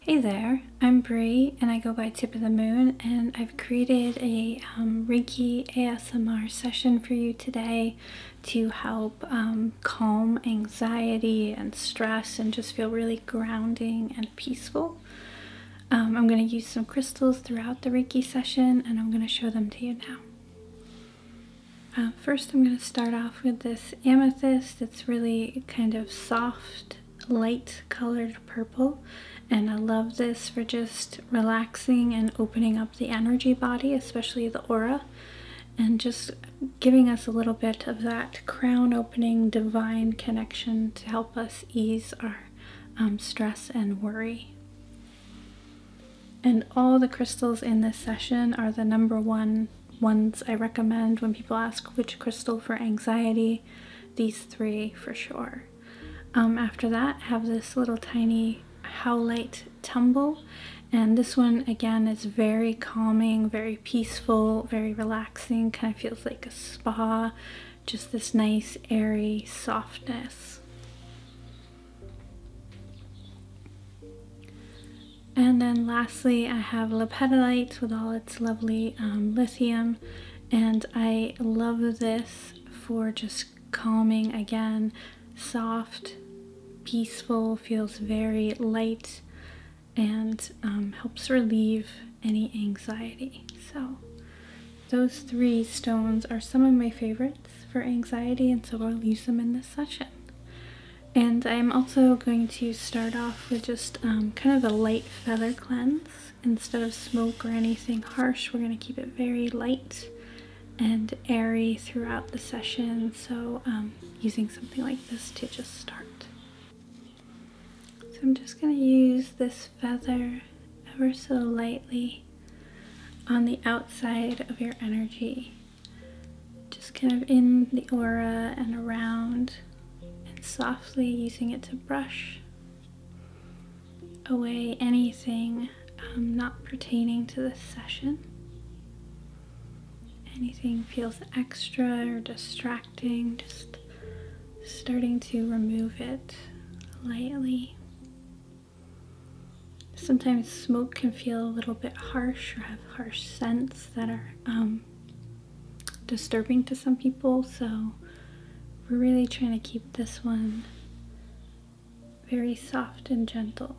Hey there, I'm Bree and I go by Tip of the Moon and I've created a um, Reiki ASMR session for you today to help um, calm anxiety and stress and just feel really grounding and peaceful. Um, I'm going to use some crystals throughout the Reiki session and I'm going to show them to you now. Uh, first I'm going to start off with this amethyst. It's really kind of soft light colored purple and I love this for just relaxing and opening up the energy body especially the aura and just giving us a little bit of that crown opening divine connection to help us ease our um, stress and worry. And all the crystals in this session are the number one ones I recommend when people ask which crystal for anxiety these three for sure. Um, after that, have this little tiny Howlite Tumble, and this one again is very calming, very peaceful, very relaxing, kind of feels like a spa, just this nice, airy softness. And then lastly, I have Lepidolite with all its that's lovely um, lithium and I love this for just calming again soft peaceful feels very light and um, helps relieve any anxiety so those three stones are some of my favorites for anxiety and so I'll use them in this session and I'm also going to start off with just um, kind of a light feather cleanse. Instead of smoke or anything harsh, we're going to keep it very light and airy throughout the session. So, um, using something like this to just start. So, I'm just going to use this feather ever so lightly on the outside of your energy, just kind of in the aura and around and softly using it to brush away anything um, not pertaining to the session. Anything feels extra or distracting, just starting to remove it lightly. Sometimes smoke can feel a little bit harsh or have harsh scents that are um, disturbing to some people, so we're really trying to keep this one very soft and gentle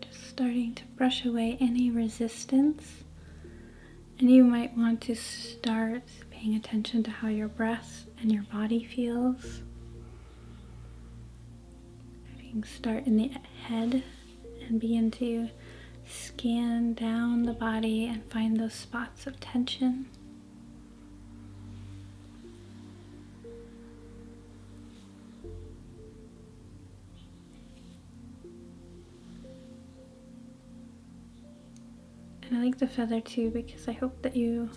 just starting to brush away any resistance. And you might want to start paying attention to how your breath and your body feels. you can start in the head and begin to scan down the body and find those spots of tension. And I like the feather too because I hope that you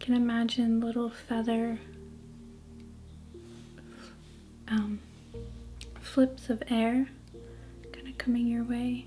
can imagine little feather um, flips of air kind of coming your way.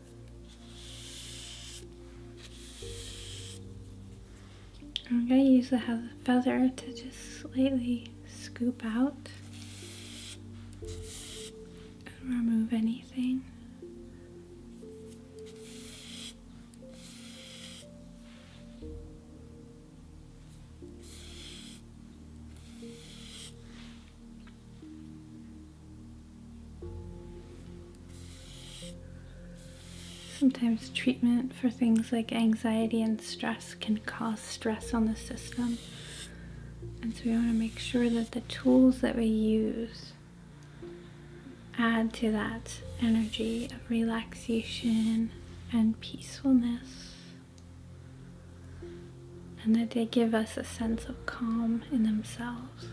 I'm going to use the feather to just slightly scoop out and remove anything. Sometimes treatment for things like anxiety and stress can cause stress on the system. And so we want to make sure that the tools that we use add to that energy of relaxation and peacefulness and that they give us a sense of calm in themselves.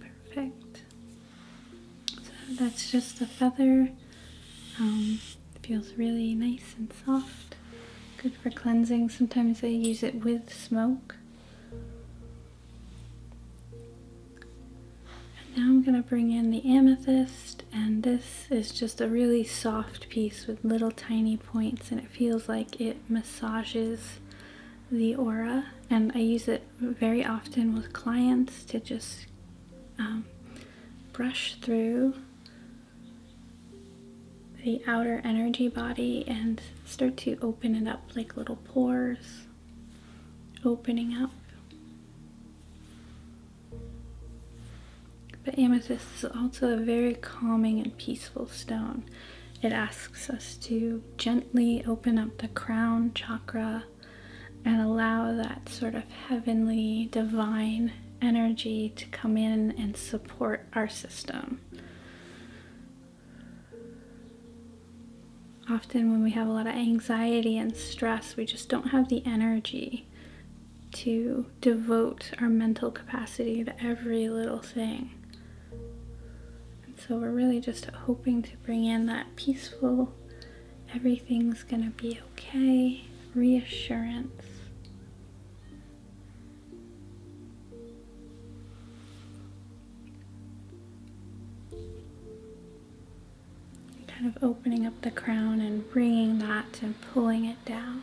Perfect. So that's just a feather. Um, feels really nice and soft. Good for cleansing. Sometimes they use it with smoke. And now I'm going to bring in the amethyst and this is just a really soft piece with little tiny points and it feels like it massages the aura and I use it very often with clients to just um, brush through the outer energy body and start to open it up like little pores opening up but amethyst is also a very calming and peaceful stone it asks us to gently open up the crown chakra and allow that sort of heavenly, divine energy to come in and support our system. Often, when we have a lot of anxiety and stress, we just don't have the energy to devote our mental capacity to every little thing. And so we're really just hoping to bring in that peaceful, everything's gonna be okay, reassurance. Kind of opening up the crown and bringing that and pulling it down.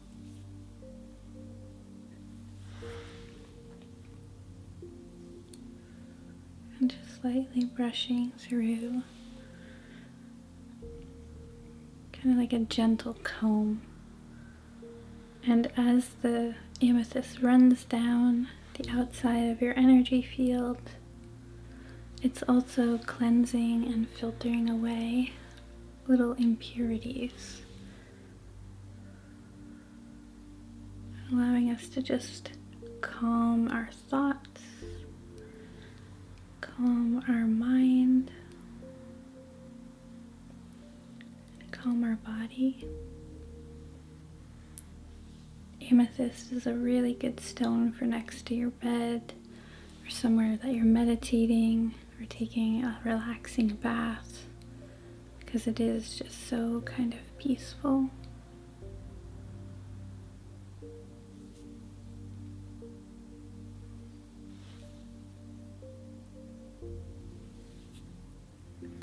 And just lightly brushing through, kind of like a gentle comb. And as the amethyst runs down the outside of your energy field, it's also cleansing and filtering away little impurities allowing us to just calm our thoughts, calm our mind, calm our body. Amethyst is a really good stone for next to your bed or somewhere that you're meditating we're taking a relaxing bath because it is just so kind of peaceful.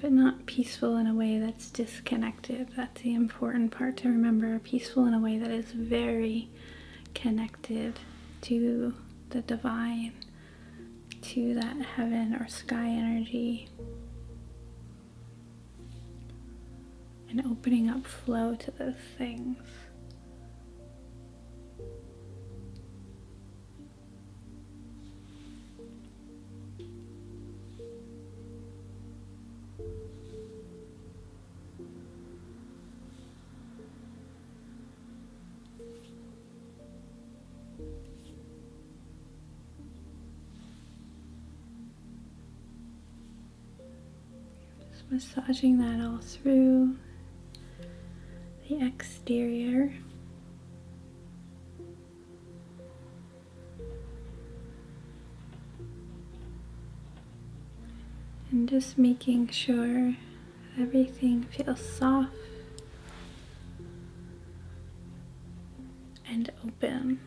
But not peaceful in a way that's disconnected. That's the important part to remember. Peaceful in a way that is very connected to the divine to that heaven or sky energy and opening up flow to those things. Just massaging that all through the exterior. And just making sure Everything feels soft and open.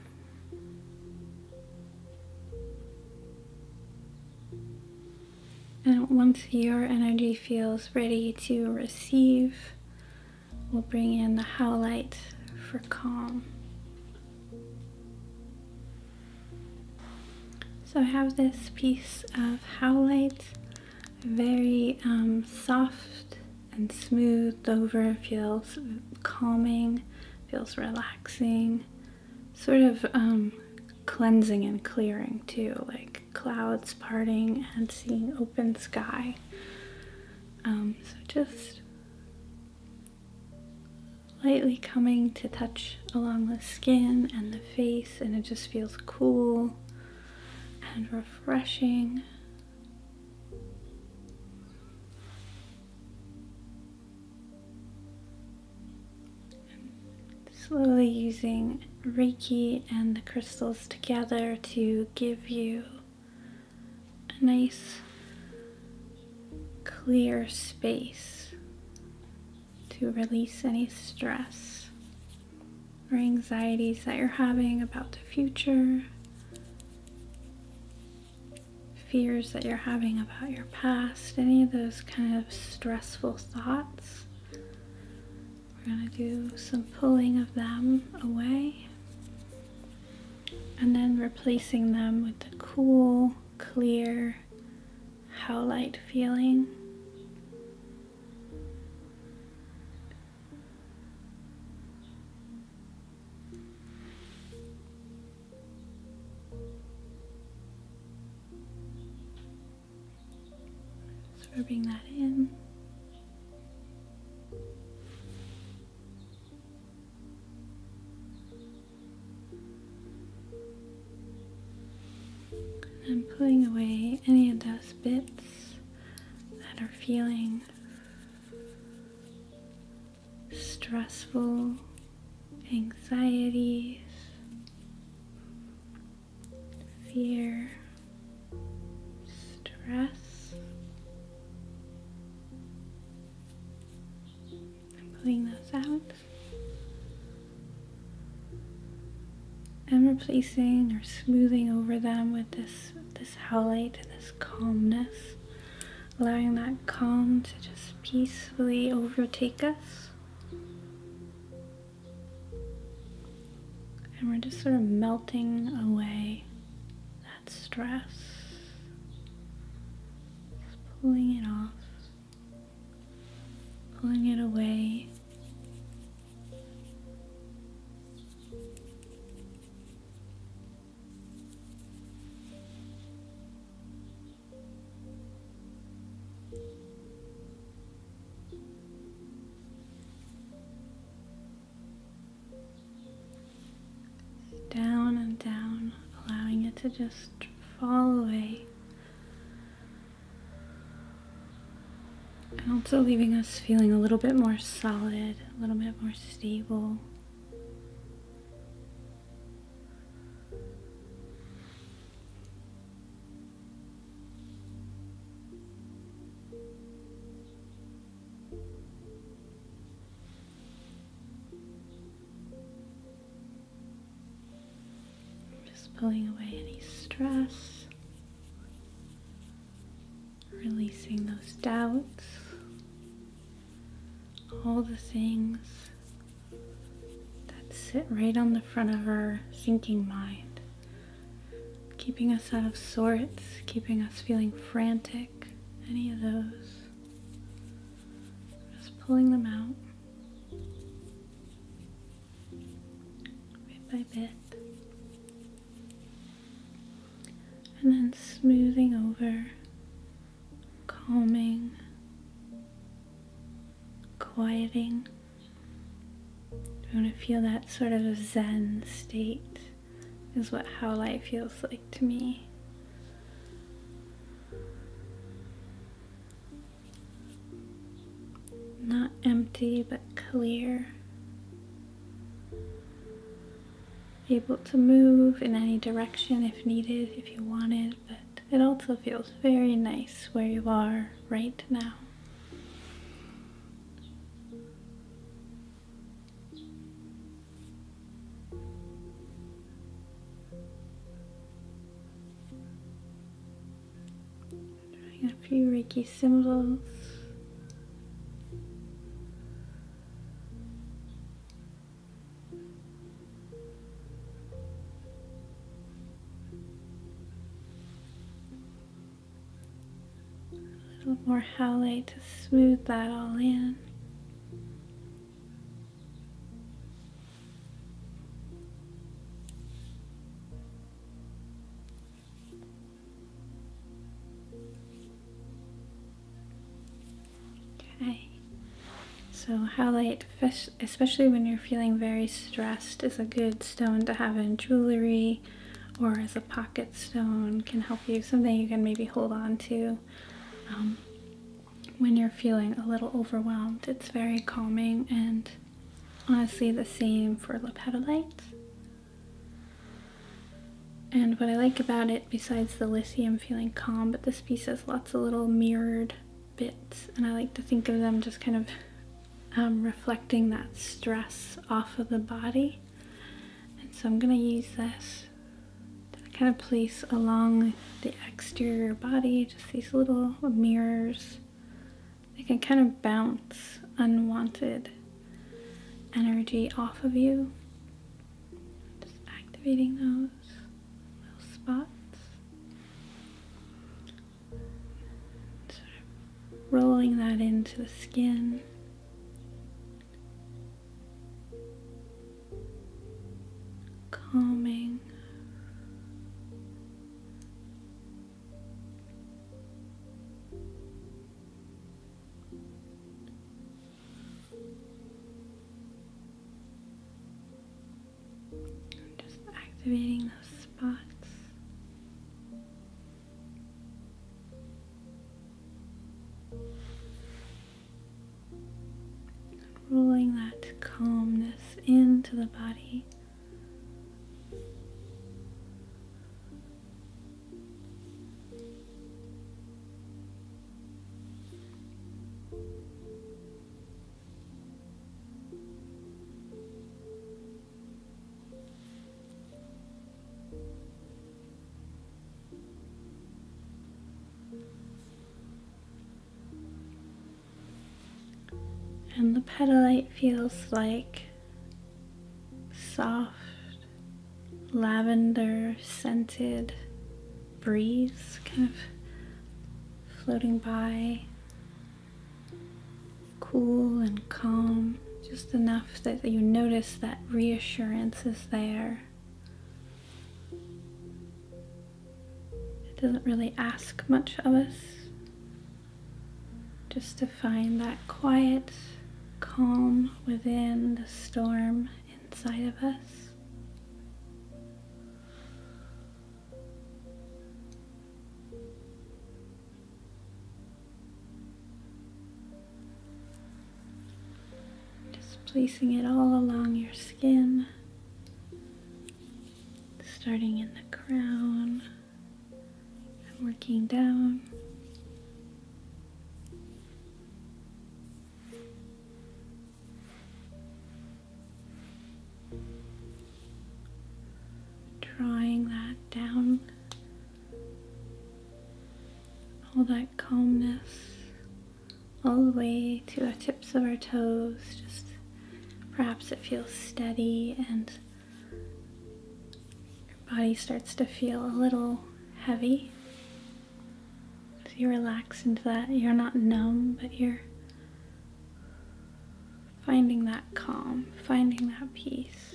And once your energy feels ready to receive, we'll bring in the how light for calm. So I have this piece of howlite very um, soft and smooth. over, feels calming, feels relaxing, sort of um, cleansing and clearing too, like clouds parting and seeing open sky. Um, so just lightly coming to touch along the skin and the face and it just feels cool and refreshing. slowly using Reiki and the crystals together to give you a nice clear space to release any stress or anxieties that you're having about the future, fears that you're having about your past, any of those kind of stressful thoughts. We're going to do some pulling of them away and then replacing them with the cool, clear, how light feeling. So we're bringing that in. I'm pulling away any of those bits thoughts that are feeling stressful, anxieties, fear, stress. I'm pulling those out. And replacing or smoothing over them with this this howlite and this calmness, allowing that calm to just peacefully overtake us. And we're just sort of melting away that stress, pulling it off, pulling it away down and down, allowing it to just fall away and also leaving us feeling a little bit more solid, a little bit more stable. Just pulling away any stress releasing those doubts, all the things that sit right on the front of our sinking mind, keeping us out of sorts, keeping us feeling frantic, any of those. Just pulling them out bit by bit and then smoothing over, calming, quieting. You want to feel that sort of zen state is what how light feels like to me not empty but clear, able to move in any direction if needed, if you want it. but it also feels very nice where you are right now. Drawing a few Reiki symbols. A little more highlight to smooth that all in. Okay, so highlight, especially when you're feeling very stressed, is a good stone to have in jewelry or as a pocket stone can help you, something you can maybe hold on to. Um, when you're feeling a little overwhelmed, it's very calming and honestly the same for lapetolite. And what I like about it, besides the lithium feeling calm, but this piece has lots of little mirrored bits, and I like to think of them just kind of um, reflecting that stress off of the body. And so I'm going to use this to kind of place along the exterior body, just these little mirrors they can kind of bounce unwanted energy off of you. Just activating those little spots. rolling that into the skin. Calming just activating those spots. rolling that calmness into the body. And the petalite feels like soft lavender scented breeze kind of floating by. Cool and calm, just enough that you notice that reassurance is there. It doesn't really ask much of us just to find that quiet calm within the storm inside of us. Just placing it all along your skin, starting in the crown and working down. Drawing that down, all that calmness all the way to the tips of our toes. Just perhaps it feels steady and your body starts to feel a little heavy. As you relax into that. You're not numb, but you're finding that calm, finding that peace.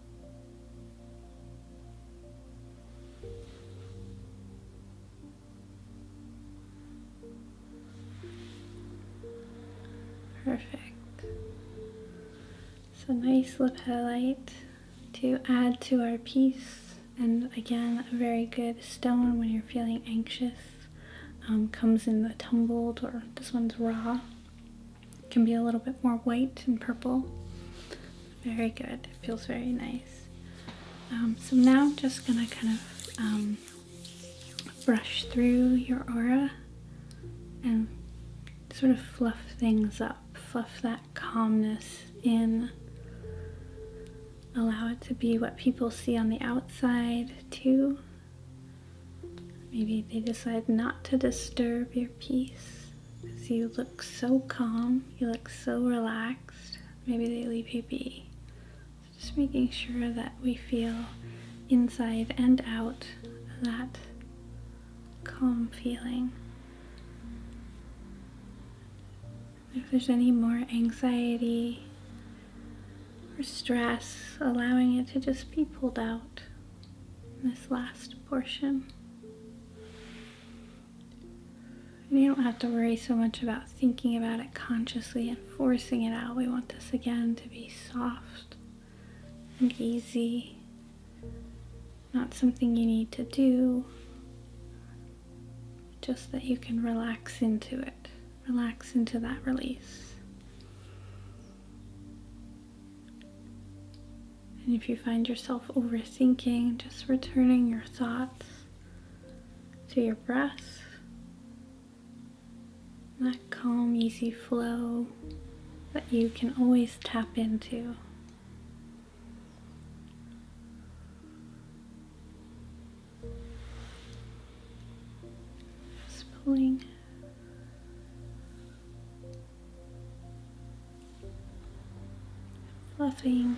Perfect. It's a nice lip to add to our piece. And again, a very good stone when you're feeling anxious. Um, comes in the tumbled or this one's raw can be a little bit more white and purple. Very good. It feels very nice. Um, so now I'm just gonna kind of um, brush through your aura and sort of fluff things up. Fluff that calmness in. Allow it to be what people see on the outside too. Maybe they decide not to disturb your peace. Cause you look so calm, you look so relaxed. Maybe they leave you be. just making sure that we feel inside and out that calm feeling. If there's any more anxiety or stress, allowing it to just be pulled out in this last portion you don't have to worry so much about thinking about it consciously and forcing it out. We want this again to be soft and easy, not something you need to do, just that you can relax into it, relax into that release. And if you find yourself overthinking, just returning your thoughts to your breath. That calm, easy flow that you can always tap into. Just pulling fluffing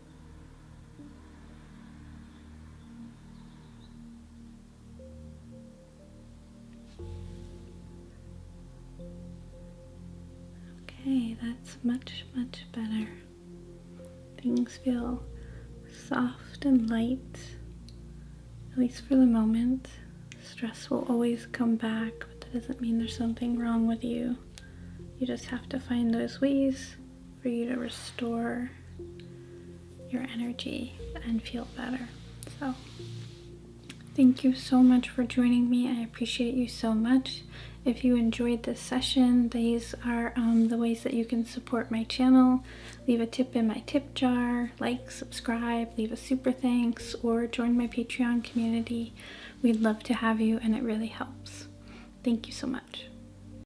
Okay, that's much, much better. Things feel soft and light, at least for the moment. Stress will always come back, but that doesn't mean there's something wrong with you. You just have to find those ways for you to restore your energy and feel better. So, thank you so much for joining me. I appreciate you so much. If you enjoyed this session, these are um, the ways that you can support my channel. Leave a tip in my tip jar, like, subscribe, leave a super thanks, or join my Patreon community. We'd love to have you and it really helps. Thank you so much.